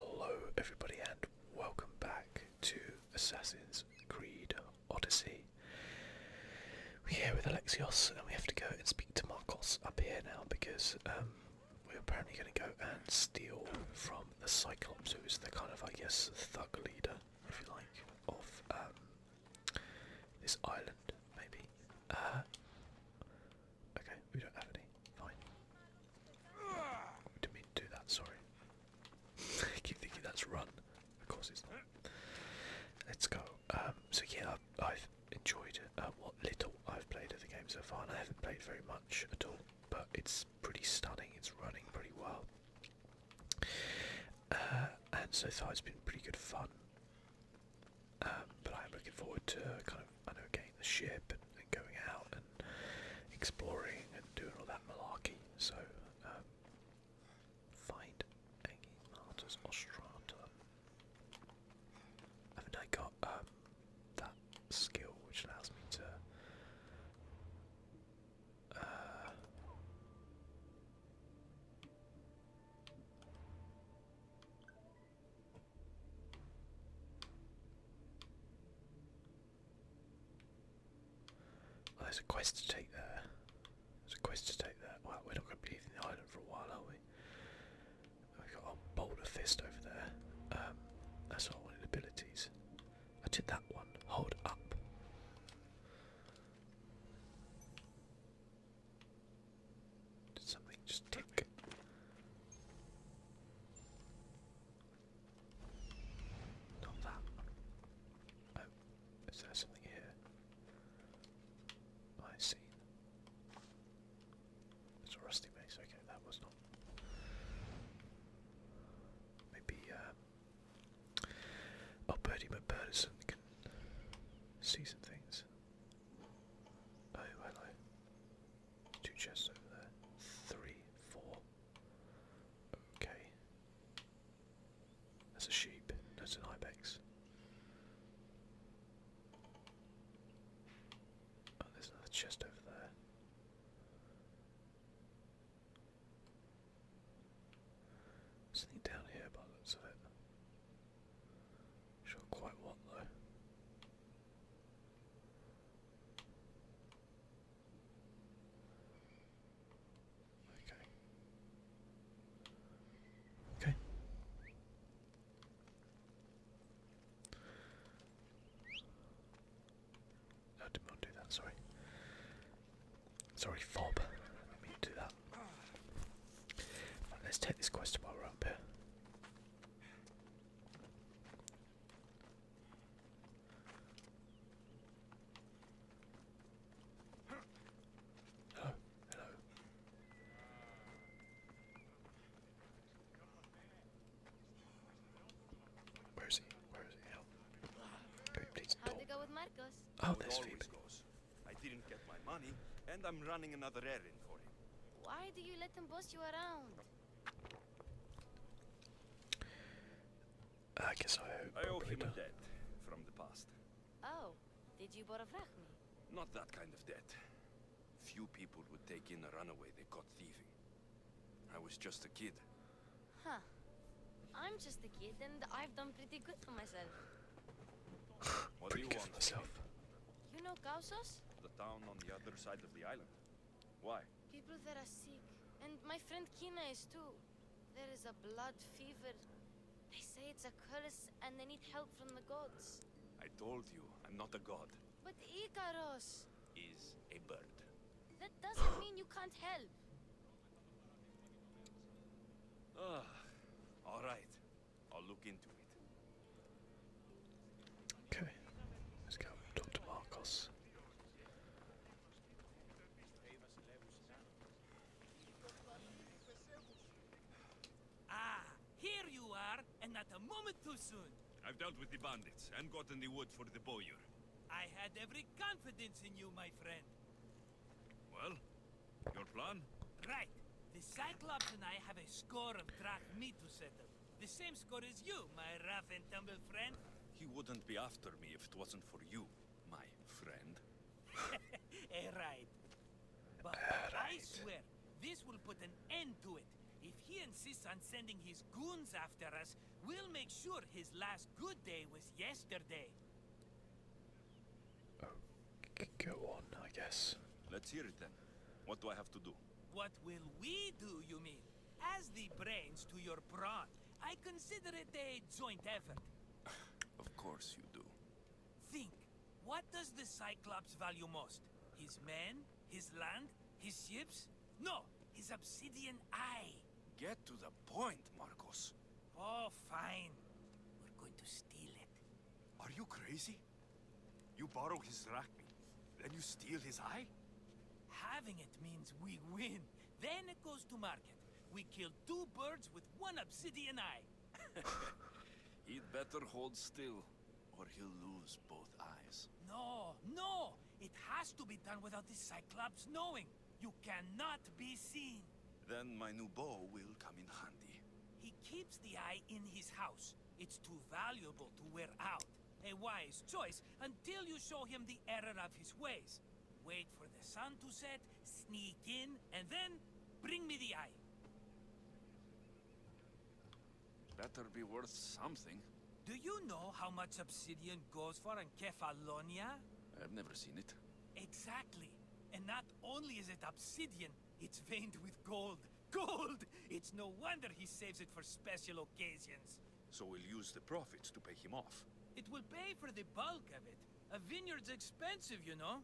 Hello everybody and welcome back to Assassin's Creed Odyssey. We're here with Alexios and we have to go and speak to Marcos up here now because um, we're apparently going to go and steal from the Cyclops who is the kind of I guess thug leader if you like of um, this island maybe. Uh, okay we don't have any, fine. Didn't mean to do that, sorry. keep thinking that's run. Of course it's not. Let's go. Um, so yeah, I've, enjoyed uh, what little I've played of the game so far, and I haven't played very much at all, but it's pretty stunning, it's running pretty well. Uh, and so far it's been pretty good fun. Um, but I am looking forward to kind of I know, getting the ship and, going out and exploring and doing all that malarkey. So, um, find Martus Ostratum. I mean, I got um, that skill which allows me to. Uh, there's a quest to take there. There's a quest to take there. Well, we're not going to be leaving the island for a while, are we? We've got our Boulder Fist over there. Um, that's all in abilities. I did that one. Hold up. Did something just tick? Not that oh, there something here? I see. It's a rusty base. Okay, that was not. Maybe. Um, Oh, Birdie McBirdison can see some things. Oh, hello. Two chests over there. Three, four. Okay. That's a sheep. That's an ibex. Oh, there's another chest over there. Something down here by looks of it. Sure quite what though. Okay. Okay. I did not do that, sorry. Sorry, Fob. Let me do that. let's take this quest while we're up here. Hello, hello. Where is he? Where is he? How'd it go with Marcos? Oh, there's Phoebe. I didn't get my money, and I'm running another errand for him. Why do you let him boss you around? I guess I. hope. I hope he's a debt from the past. Oh, did you borrow me? Not that kind of debt. Few people would take in a runaway they caught thieving. I was just a kid. Huh. I'm just a kid and I've done pretty good for myself. what pretty do you want? Myself. You know Kausos? The town on the other side of the island. Why? People that are sick. And my friend Kina is too. There is a blood fever. They say it's a curse and they need help from the gods. I told you, I'm not a god. But Icaros... Is a bird. That doesn't mean you can't help. Ah, all right. I'll look into it. Okay, let's go talk Marcos. Ah, here you are, and not a moment too soon. I've dealt with the bandits and gotten the wood for the bowyer. I had every confidence in you, my friend. Well, your plan? Right. The Cyclops and I have a score of track drachmae to settle. The same score as you, my rough and tumble friend. He wouldn't be after me if it wasn't for you, my friend. eh, right. But eh, I swear, this will put an end to it. If he insists on sending his goons after us, we'll make sure his last good day was yesterday. Oh, go on, I guess. Let's hear it then. What do I have to do? What will we do, you mean? As the brains to your brawn, I consider it a joint effort. of course you do. Think, what does the Cyclops value most? His men? His land? His ships? No, his obsidian eye. Get to the point, Marcos. Oh, fine. We're going to steal it. Are you crazy? You borrow his drachmi, then you steal his eye? Having it means we win. Then it goes to market. We kill two birds with one obsidian eye. He'd better hold still, or he'll lose both eyes. No, no! It has to be done without the Cyclops knowing. You cannot be seen. Then my new bow will come in handy. He keeps the eye in his house. It's too valuable to wear out. A wise choice until you show him the error of his ways. Wait for the sun to set, sneak in, and then bring me the eye. Better be worth something. Do you know how much obsidian goes for in Kefalonia? I've never seen it. Exactly. And not only is it obsidian, it's veined with gold. Gold! It's no wonder he saves it for special occasions. So we'll use the profits to pay him off. It will pay for the bulk of it. A vineyard's expensive, you know.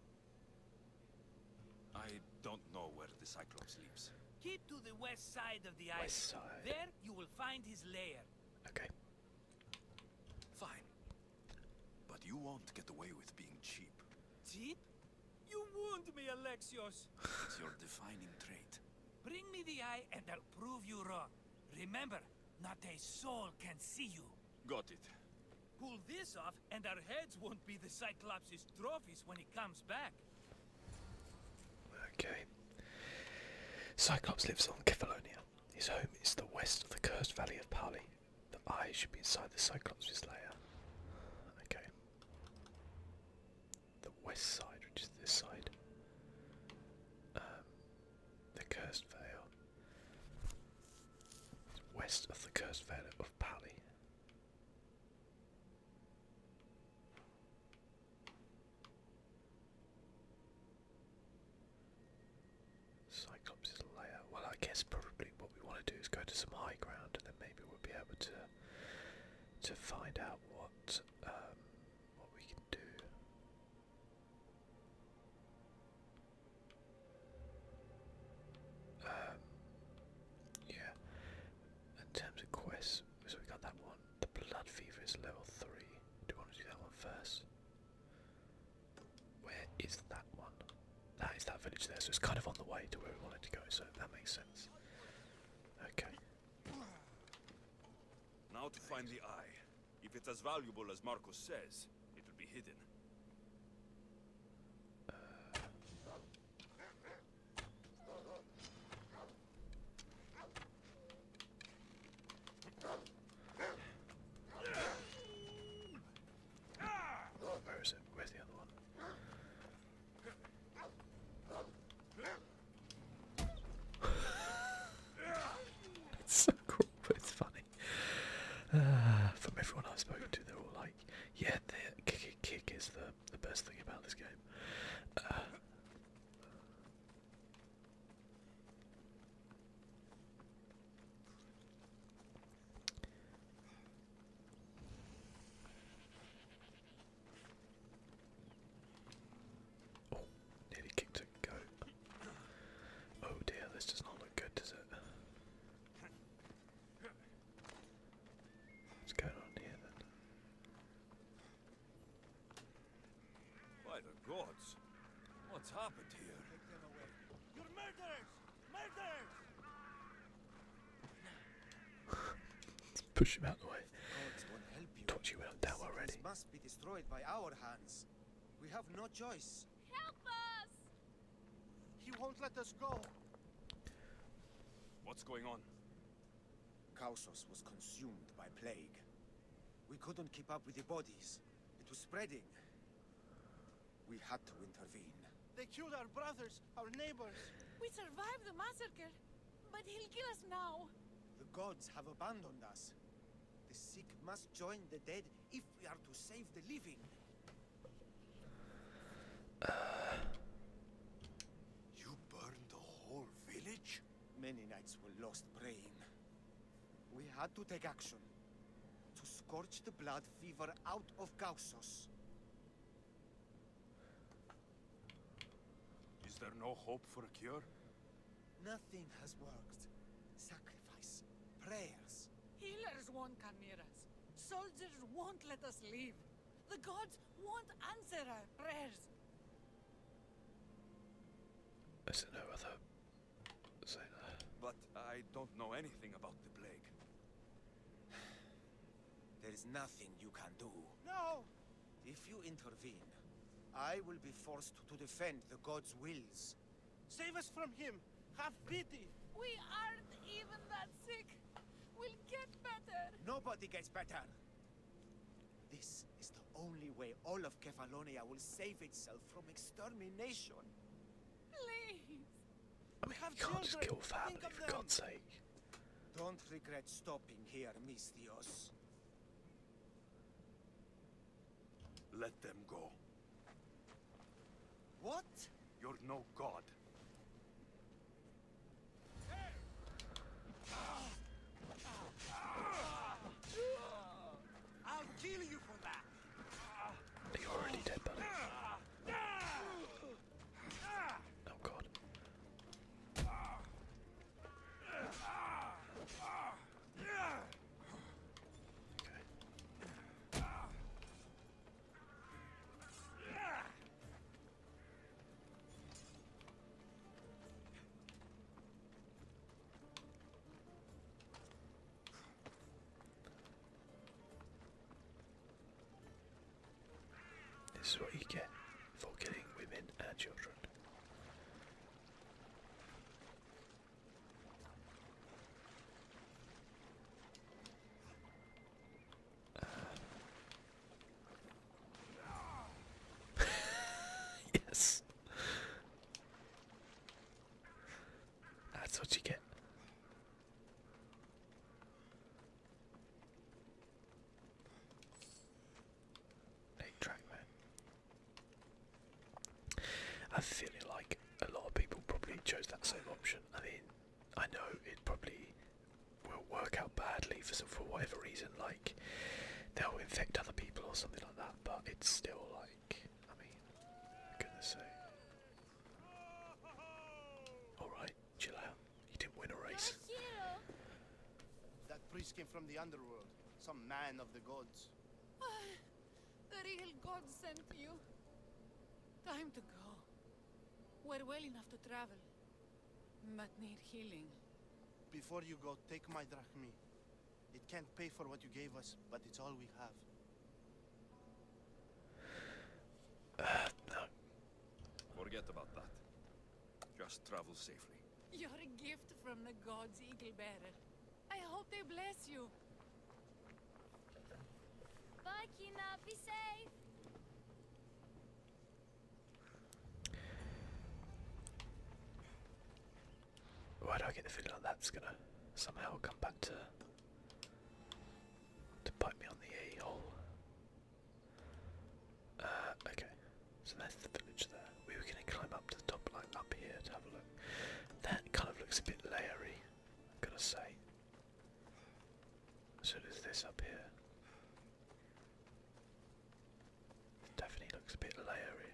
I don't know where the Cyclops lives. Keep to the west side of the island. There you will find his lair. Okay. Fine. But you won't get away with being cheap. Cheap? You wound me, Alexios. It's your defining trait. Bring me the eye and I'll prove you wrong. Remember, not a soul can see you. Got it. Pull this off and our heads won't be the Cyclops's trophies when he comes back. Okay. Cyclops lives on Kefalonia. His home is the west of the cursed valley of Pali. The eye should be inside the Cyclops's lair. Okay the west side, which is this side, um, the Cursed Vale, west of the Cursed Vale of Pali. Cyclops' layer. Well, I guess probably what we want to do is go to some high ground, and then maybe we'll be able to to find out what um, what we can do. Um, yeah. In terms of quests, so we got that one. The blood fever is level three. Do you want to do that one first? Where is that one? That is that village there, so it's kind of on the way to where we wanted to go, so that makes sense. Okay. Now to find the eye. If it's as valuable as Marcus says, it'll be hidden. Where is it? Where's the other one? it's so cool, but it's funny. Uh, from everyone I've spoken to, they're all like, "Yeah, the kick, kick is the the best thing about this game." Oh, nearly kicked a goat. Oh dear, this does not look good, does it? What's going on here then? By the gods, what's happened here? push him out the way. Taught you without doubt already. Must be destroyed by our hands. We have no choice. Help us! He won't let us go. What's going on? Kausos was consumed by plague. We couldn't keep up with the bodies. It was spreading. We had to intervene. They killed our brothers, our neighbors. We survived the massacre. But he'll kill us now. The gods have abandoned us. The sick must join the dead if we are to save the living. You burned the whole village? Many knights were lost praying. We had to take action. To scorch the blood fever out of Gaussos. Is there no hope for a cure? Nothing has worked. Sacrifice, prayers. Healers won't come near us. Soldiers won't let us leave. The gods won't answer our prayers. Is no other But I don't know anything about the plague. There is nothing you can do. No! If you intervene, I will be forced to defend the gods' wills. Save us from him! Have pity! We aren't even that sick! We'll get better! Nobody gets better! This is the only way all of Kefalonia will save itself from extermination! Please! We have you can't just kill family, for God's sake. Don't regret stopping here, Mistios. Let them go. What? You're no god. you for already dead, buddy. Oh god. Okay. This is what you get for killing women and children. Uh, yes. That's what you get. Eight track man. I feel like a lot of people probably chose that same option. I mean, I know it probably will work out badly for for whatever reason, like they'll infect other people or something like that. But it's still like, I mean, goodness sake. All right. Chill out. He didn't win a race. That priest came from the underworld. Some man of the gods. Ah, the real gods sent you. Time to go. We're well enough to travel, but need healing. Before you go, take my drachmi. It can't pay for what you gave us, but it's all we have. Uh, no. Forget about that. Just travel safely. You're a gift from the gods, Eaglebearer. I hope they bless you. Bye, Kina. Be safe. Why do I get the feeling that's gonna somehow come back to to bite me on the a hole? Uh, okay, so there's the village there. We were going to climb up to the top, like up here, to have a look. That kind of looks a bit layery, I've got to say. So does this up here. It definitely looks a bit layery.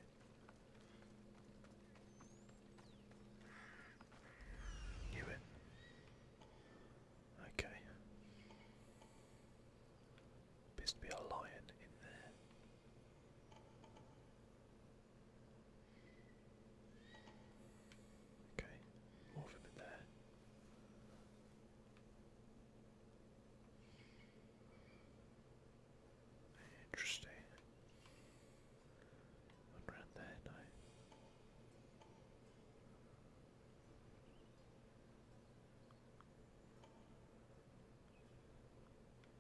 Knew Okay. Appears to be a lion in there. Okay, more of him in there. Interesting. One there,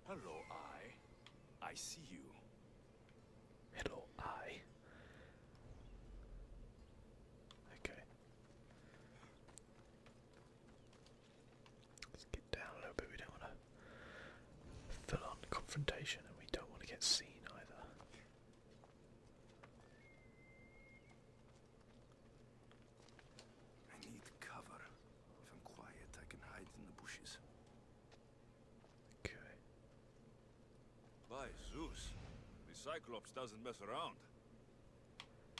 Hello, I. I see you. Hello, I. Okay. Let's get down a little bit. We don't want to fill on confrontation and we don't want to get seen either. I need cover. If I'm quiet, I can hide in the bushes. Okay. By Zeus, the Cyclops doesn't mess around.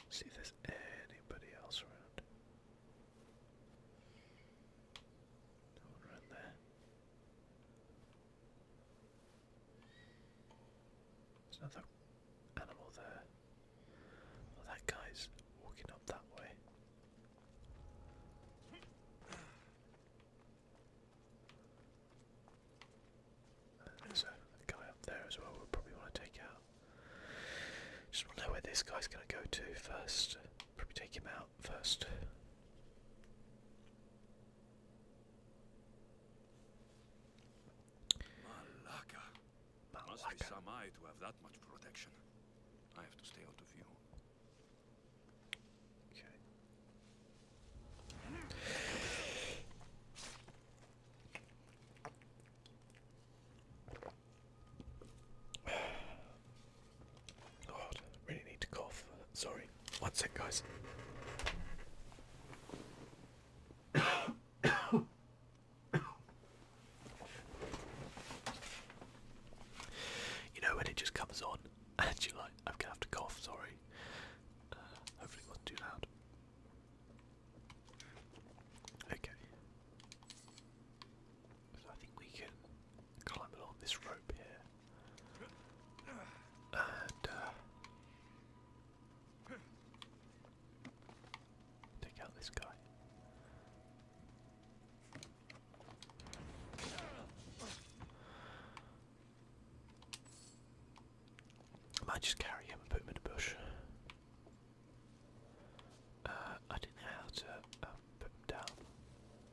See there's anybody else around. No one around there. There's another animal there. that guy's walking up that way. there's a guy up there as well. We'll probably want to take out. Just want to know where this guy's going to go to first. Probably take him out first. Malaka. Malaka. Must be some to have that much protection. I have to stay out of view. Okay. God, really need to cough. Sorry. One sec, guys. you know when it just comes on and you're like, I'm gonna have to cough, sorry. Uh, hopefully wasn't too loud. Okay. I think we can climb along this rope here. Uh, Take out this guy. I might just carry him and put him in the bush. Uh, I didn't know how to uh, put him down.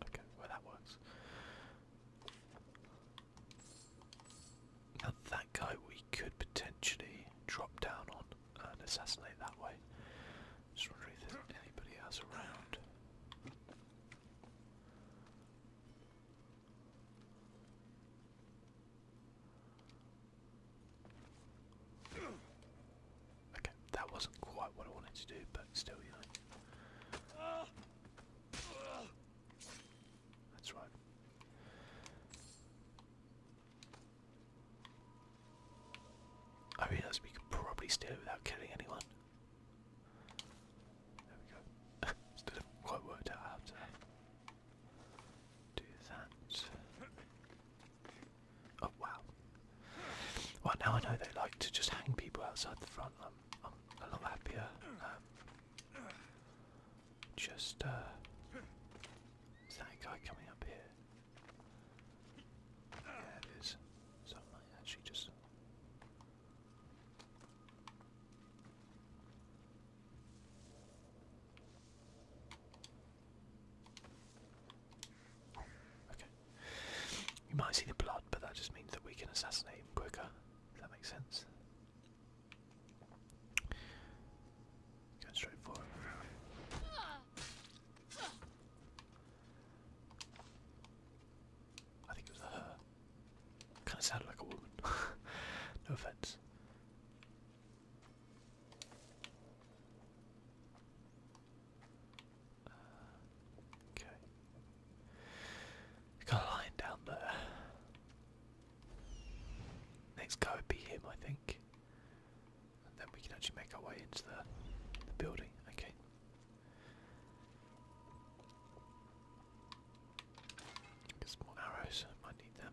Okay, well that works. Now that guy we could potentially drop down on and assassinate that way. Just wondering if there's anybody else around. Okay, that wasn't quite what I wanted to do, but still, that's right. I realise we could probably steal without killing anyone. There we go. Still not quite worked out how to do that. Oh wow. Well now I know they like to just hang people outside the front. I'm, a lot happier um, just, uh. that guy coming up here? Yeah, it is. So I might actually just. Okay. You might see the blood, but that just means that we can assassinate him quicker. If that makes sense. Going straight forward. I think it was her. Kind of sounded like a woman. no offense. Uh, okay. Kind of lying down there. Next guy would be him, I think. then we can actually make our way into the, building. Okay. Get some more arrows. might need them.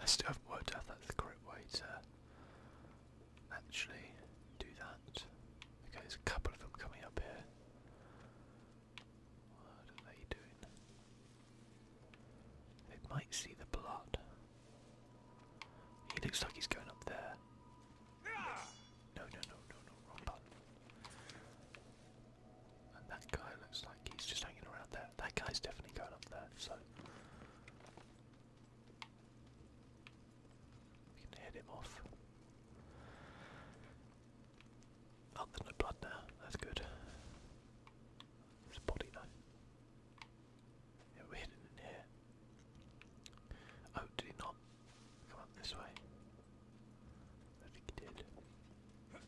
I still haven't worked out that's the correct way to actually do that. Okay, there's a couple of them coming up here. What are they doing? They might see the blood. He looks like he's going up there. No, no, no, no, no, wrong button that guy looks like he's just hanging around there. That guy's definitely going up there, so we can head him off. Oh, there's no blood now. That's good. There's a body though. Yeah, we're hidden in here. Oh, did he not come up this way? I think he did. Okay.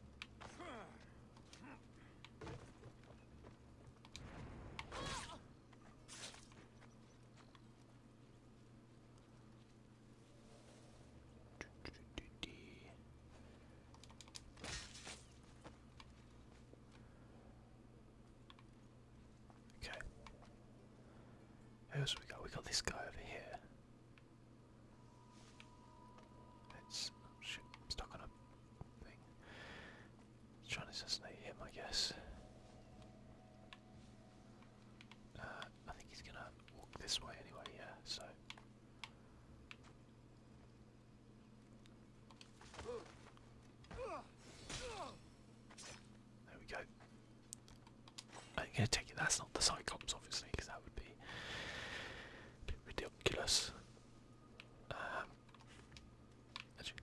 Who else we got? We got this guy over here. It's I'm stuck on a thing. trying to assassinate him, I guess. Uh, I think he's gonna walk this way anyway, yeah, so. There we go. I'm gonna take it, that's not the Cyclops, obviously, because that would be Ridiculous. Uh,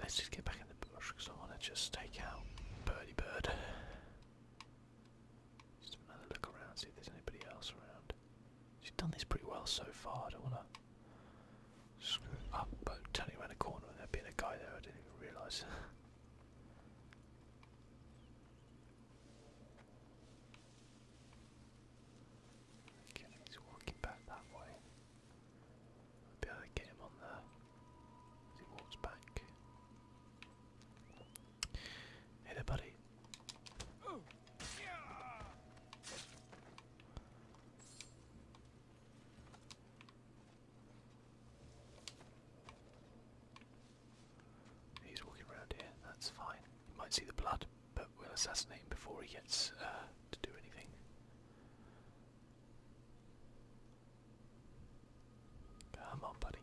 let's just get back in the bush because I want to just take out Birdie Bird. Just another look around, see if there's anybody else around. She's done this pretty well so far. I don't want to screw up, but turning around a corner and there being a guy there, I didn't even realise he's walking back that way. I'll be able to get him on there as he walks back. Hey there, buddy. Yeah. He's walking around here, that's fine. You might see the blood, but we'll assassinate him before he gets uh, to do anything. Come on, buddy.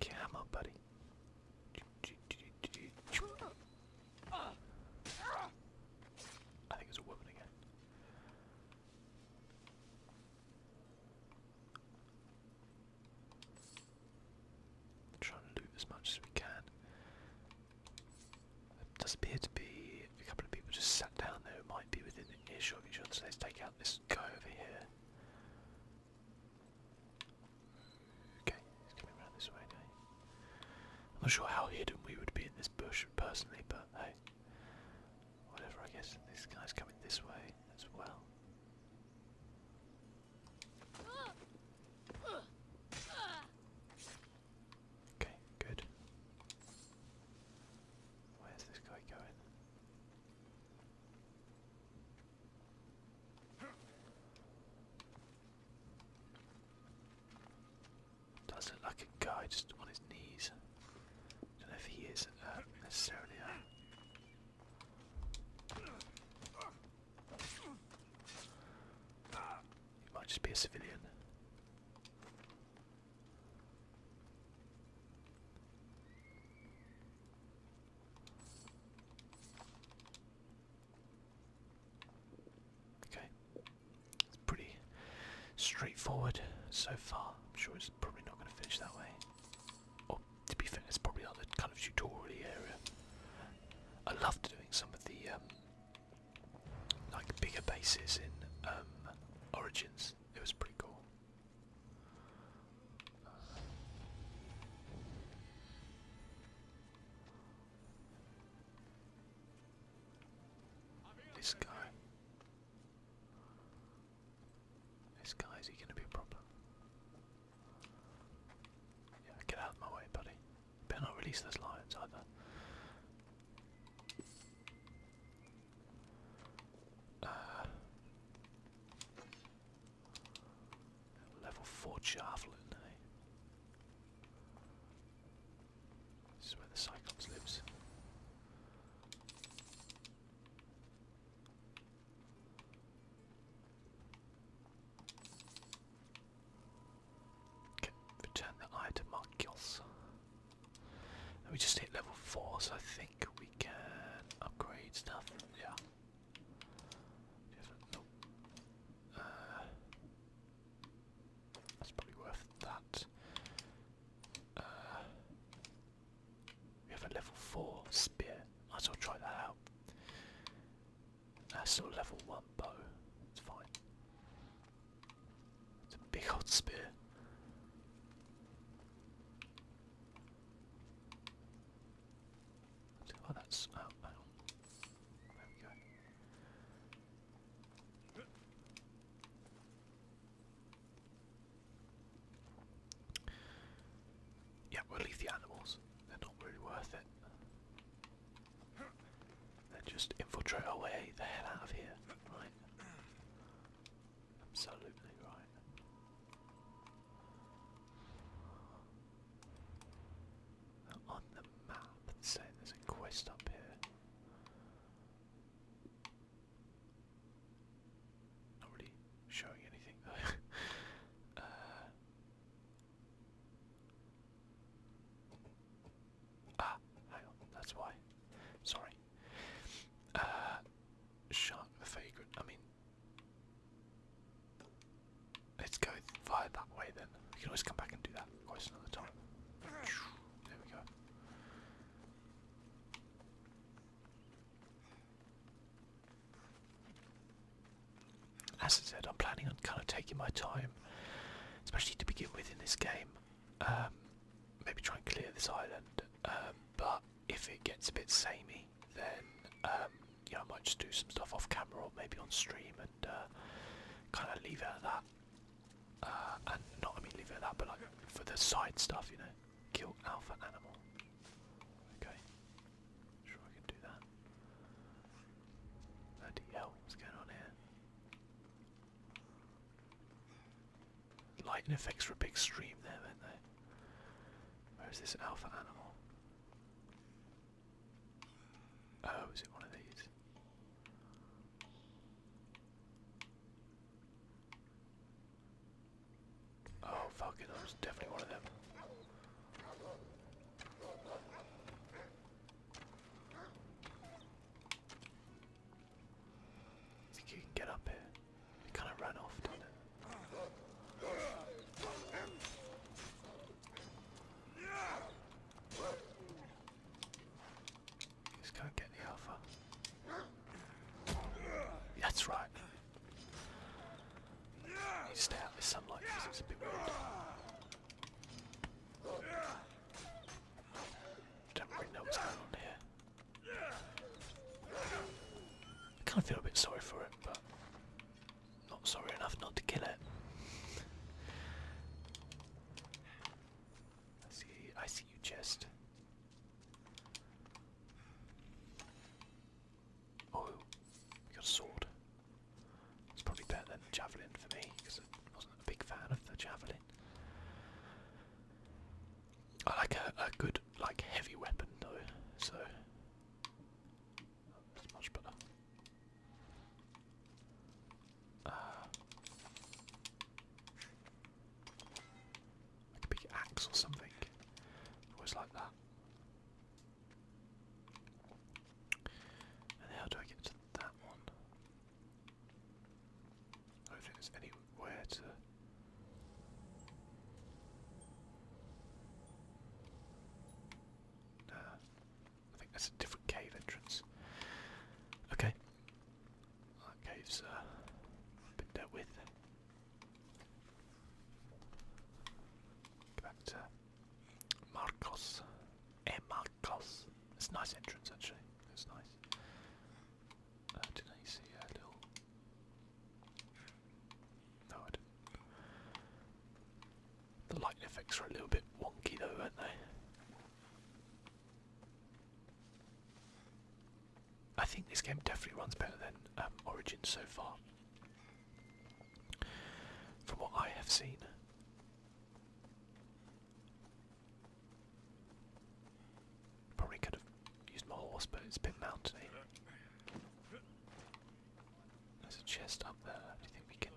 Come on, buddy. I think it's a woman again. Trying to loot as much as we can. There does appear to be a couple of people just sat down there who might be within earshot let's take out this guy over here. Okay, he's coming around this way I'm not sure how hidden we would be in this bush personally, but hey, whatever I guess. This guy's coming this way as well. Okay, good. Where's this guy going? Does look like a guy just on his knees. Don't know if he is uh, necessarily uh, he might just be a civilian. Okay, it's pretty straightforward so far. I'm sure it's probably not going to finish that way. Oh, to be fair, it's probably not the kind of tutorial area. I loved doing some of the um, like bigger bases in um, Origins. It was pretty cool. this guy. This guy, is he going to be a problem? Yeah, get out of my way, buddy. Better not release those lions either. Uh, level 4 javelin, eh? This is where the Cyclops lives return the eye to Markios. And we just hit level 4, so I think we can upgrade stuff. Yeah. Uh, that's probably worth that. Uh, we have a level 4 spear. Might as well try that out. That's still level 1 bow. It's fine. It's a big old spear. Oh, that's oh, oh. There we go. Yeah, we'll leave animals. They're not really worth it. Then just infiltrate our way the hell out of here, right? Absolutely right. on the map, it's saying there's a quest up here. Not really showing anything uh, ah, hang on, that's why. Sorry. Uh, Shark the I mean. Let's go via that way then. We can always come back and do that quite another time. There we go. As I said, I'm planning on kind of taking my time, especially to begin with in this game. Um, maybe try and clear this island, um, but if it gets a bit samey, then um, I might just do some stuff off camera or maybe on stream and uh, kind of leave it at that. Uh, and not I mean leave it at that, but like for the side stuff, you know, kill alpha animal. Okay, Sure I can do that. Bloody hell, what's going on here? Lightning effects for a big stream there, weren't they? Where is this alpha animal? Oh, is it one of these? Oh fuck it, was definitely one of them. you can get up here. It kind of ran off, didn't it? Just can't get the alpha. That's right. I need stay out of sunlight Don't really know what's going on here. I kind of feel a bit sorry for it, but not sorry enough not to kill it. I see. I see you, chest. Oh, we got a sword. It's probably better than a javelin for me because I wasn't a big fan of the javelin. I like a, good, like heavy weapon though, so that's much better. Uh, a big axe or something. Always like that how do I get to that one? I don't think there's anywhere to. Nah, I think that's a different cave entrance. Okay, that cave's uh, been dealt with. Go back to Marcos. Eh, Marcos. It's a nice entrance actually. It's nice. Uh, did I see a little? No, I didn't. The lighting effects are a little bit wonky though, aren't they? I think this game definitely runs better than um, Origin so far, from what I have seen. Probably could have used my horse, but it's a bit mountainy. There's a chest up there. Do you think we can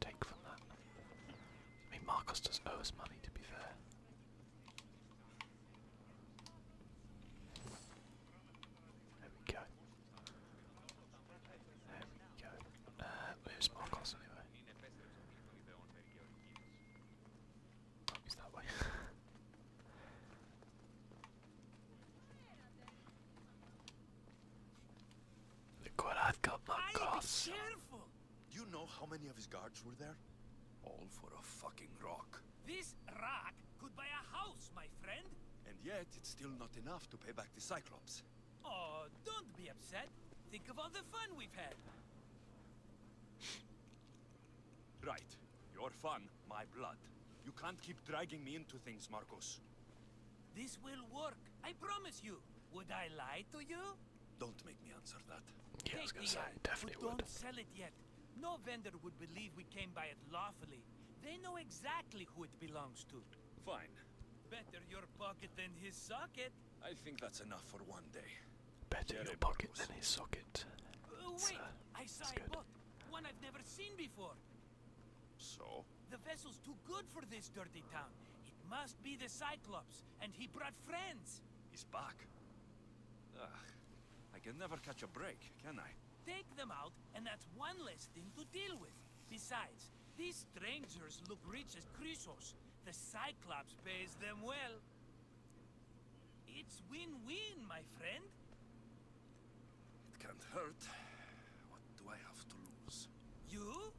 take from that? I mean, Marcos does owe us money, to be fair. There we go. There we go. Uh, where's Marcos anyway? Oh, that way. Look what I've got, Marcos. Do you know how many of his guards were there? All for a fucking rock. This rock could buy a house, my friend. And yet, it's still not enough to pay back the Cyclops. Oh, don't be upset. Think of all the fun we've had. Right. Your fun, my blood. You can't keep dragging me into things, Marcos. This will work, I promise you. Would I lie to you? Don't make me answer that. Yes, Take I definitely we would. Don't sell it yet. No vendor would believe we came by it lawfully. They know exactly who it belongs to. Fine. Better your pocket than his socket. I think that's enough for one day. Better your pocket than his socket. Uh, wait, uh, I saw a boat. One I've never seen before. So? The vessel's too good for this dirty town. It must be the Cyclops, and he brought friends. He's back. Ugh, I can never catch a break, can I? Take them out, and that's one less thing to deal with. Besides, these strangers look rich as Chrysos. The Cyclops pays them well. It's win-win, my friend. It can't hurt. What do I have to lose? You?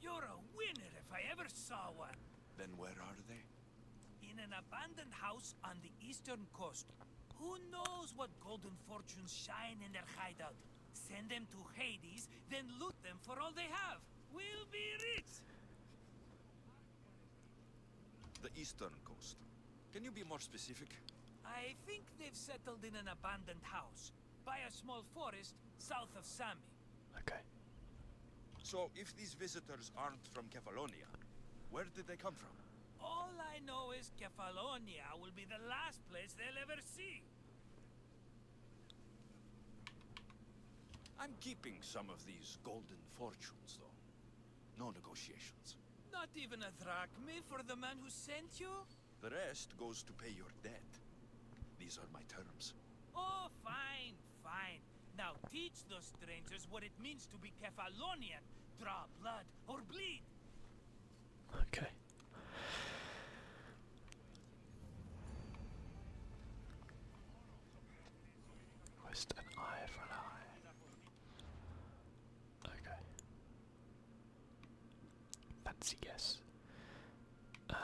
You're a winner if I ever saw one. Then where are they? In an abandoned house on the eastern coast. Who knows what golden fortunes shine in their hideout? Send them to Hades, then loot them for all they have. We'll be rich! The eastern coast. Can you be more specific? I think they've settled in an abandoned house, by a small forest south of Sami. Okay. So, if these visitors aren't from Kefalonia, where did they come from? All I know is Kefalonia will be the last place they'll ever see. I'm keeping some of these golden fortunes, though. No negotiations. Not even a drachma for the man who sent you? The rest goes to pay your debt. These are my terms. Oh, fine, fine. Now teach those strangers what it means to be Kefalonia. Okay. Request an eye for an eye. Okay. Fancy guess. Uh,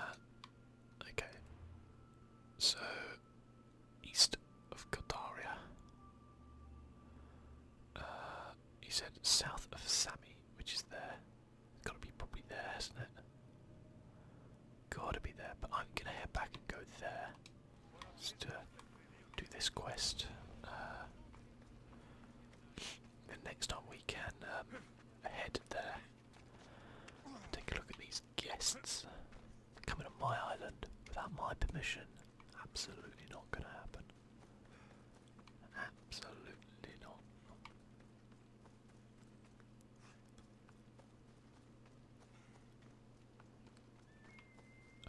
okay. So, east of Godaria. Uh, he said south of Sami, which is there. It's gotta be probably there, not it? Gotta be there, but I'm gonna head back and go there. Just to do this quest. Uh, the next time we can um, head there. Take a look at these guests coming on my island without my permission. Absolutely not going to happen. Absolutely not.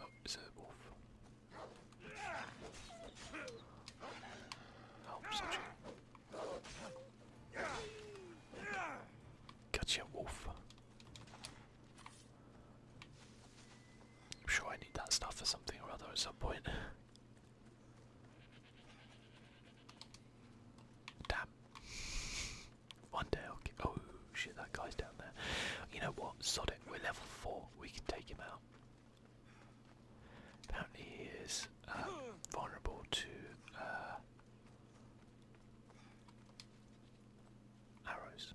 Oh, it's a wolf. Oh, such wolf. I'm sure I need that stuff for something or other at some point. Damn. One day I'll Oh shit, that guy's down there. You know what? Sod it. We're level 4. We can take him out. Apparently he is uh, vulnerable to uh, arrows.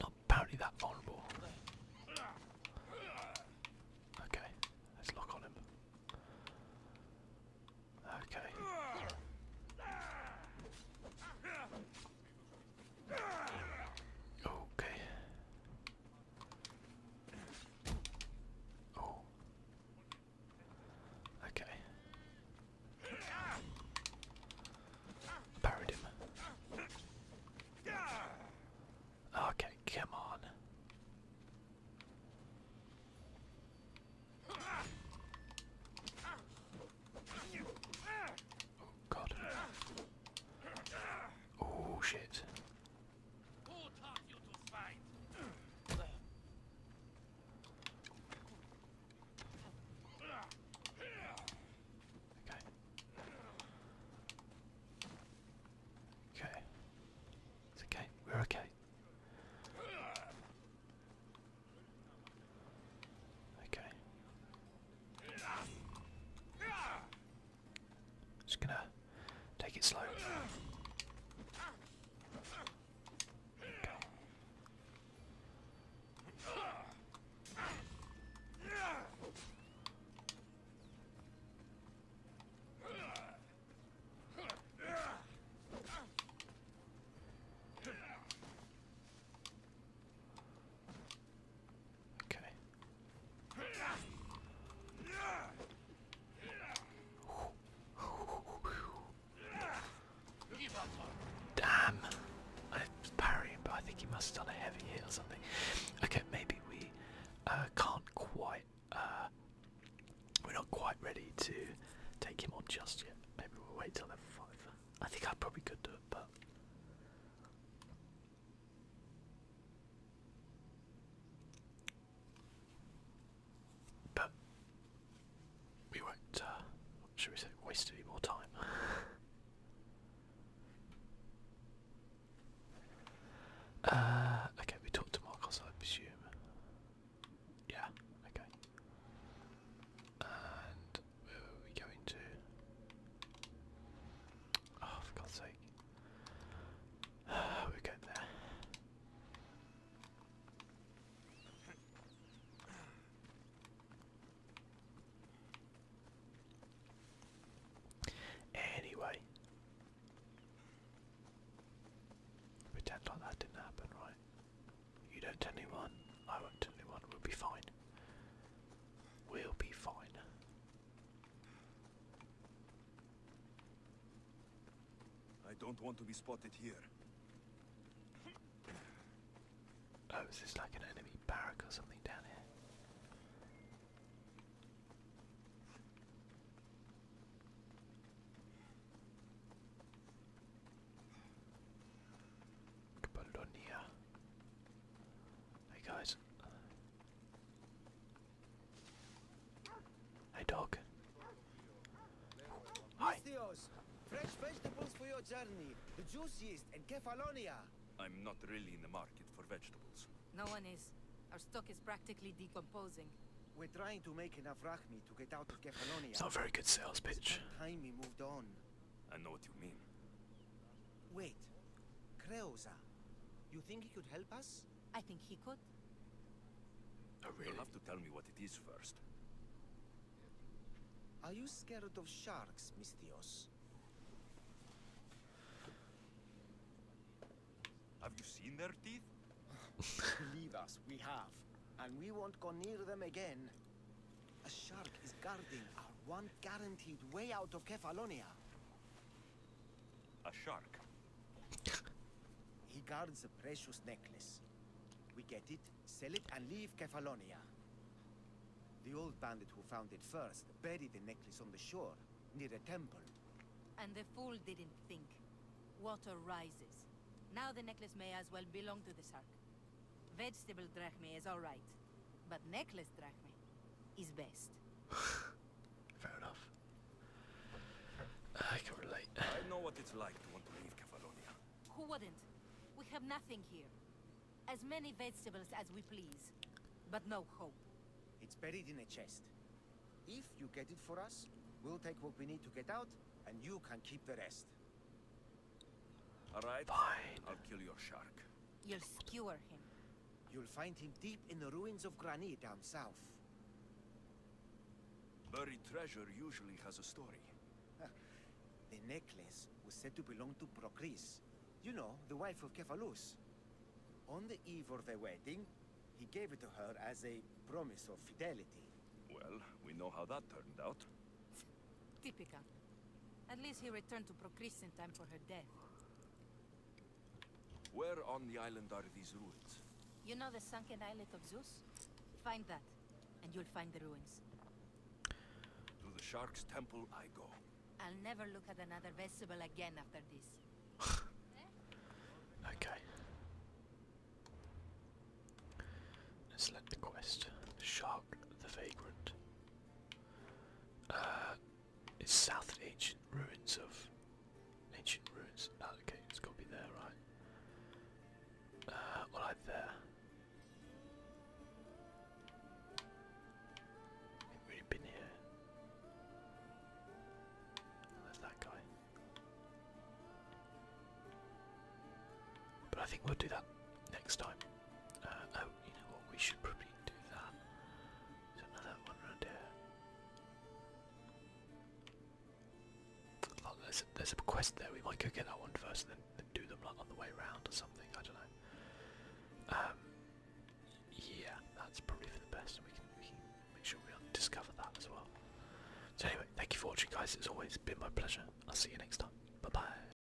Not apparently that vulnerable. Okay, let's lock on him. Okay. Okay. Oh. Okay. Parried him. Okay, come on. Oh god. Oh shit. Okay. Okay. It's okay. We're okay. Okay. Just gonna take it slow. Okay. Okay. Damn! I was but I think he must have done a heavy hit something. Okay, maybe we uh, can't quite. Uh, we're not quite ready to take him on just yet. Maybe we'll wait till level five. I think I probably could do it, but but we won't, uh, should we say, waste any more time. uh, okay, we talked to Marcos, I presume. Yeah, okay. And where were we going to? Oh, for God's sake. We're there. Anyway, pretend like that didn't happen, right? You don't tell anyone, I won't tell anyone, we'll be fine. We'll be fine. I don't want to be spotted here. Oh, is this like an enemy barrack or something down here? Could here. Hey guys. Hey dog. Hi. Fresh vegetables for your journey. The juiciest and Cephalonia. I'm not really in the market for vegetables. No one is. Our stock is practically decomposing. We're trying to make enough rachmi to get out of Cephalonia. It's not a very good sales pitch. I know what you mean. Wait. Creosa. You think he could help us? I think he could. I really? You'll have to tell me what it is first. Are you scared of sharks, Mistios? Have you seen their teeth? Believe us, we have. And we won't go near them again. A shark is guarding our one guaranteed way out of Kefalonia. A shark? he guards the precious necklace. We get it, sell it, and leave Kefalonia. The old bandit who found it first buried the necklace on the shore, near a temple. And the fool didn't think. Water rises. Now the necklace may as well belong to the shark. Vegetable drachme is all right, but necklace drachme is best. Fair enough. I can relate. I know what it's like to want to leave Kefalonia. Who wouldn't? We have nothing here. As many vegetables as we please, but no hope. It's buried in a chest. If you get it for us, we'll take what we need to get out, and you can keep the rest. All right. Fine. I'll kill your shark. You'll skewer him. You'll find him deep in the ruins of Granny down south. Buried treasure usually has a story. the necklace was said to belong to Procris. You know, the wife of Cephalus. On the eve of their wedding, he gave it to her as a promise of fidelity. Well, we know how that turned out. Typical. At least he returned to Procris in time for her death. Where on the island are these ruins? You know the sunken islet of Zeus? Find that, and you'll find the ruins. To the shark's temple I go. I'll never look at another vessel again after this. okay. Select the quest. Shark the Vagrant. Uh, it's south of ancient ruins of ancient ruins. Oh, okay, it's got to be there, right? Uh, there. We've really been here. Oh, that guy. But I think we'll do that next time. Uh, oh, you know what, we should probably do that. There's another one around here. Oh, there's, a, quest there, we might go get that one first then, do them like, on the way round or something, I don't know. Um, yeah, that's probably for the best, we can make sure we discover that as well. So anyway, thank you for watching guys, it's always been my pleasure. I'll see you next time. Bye bye.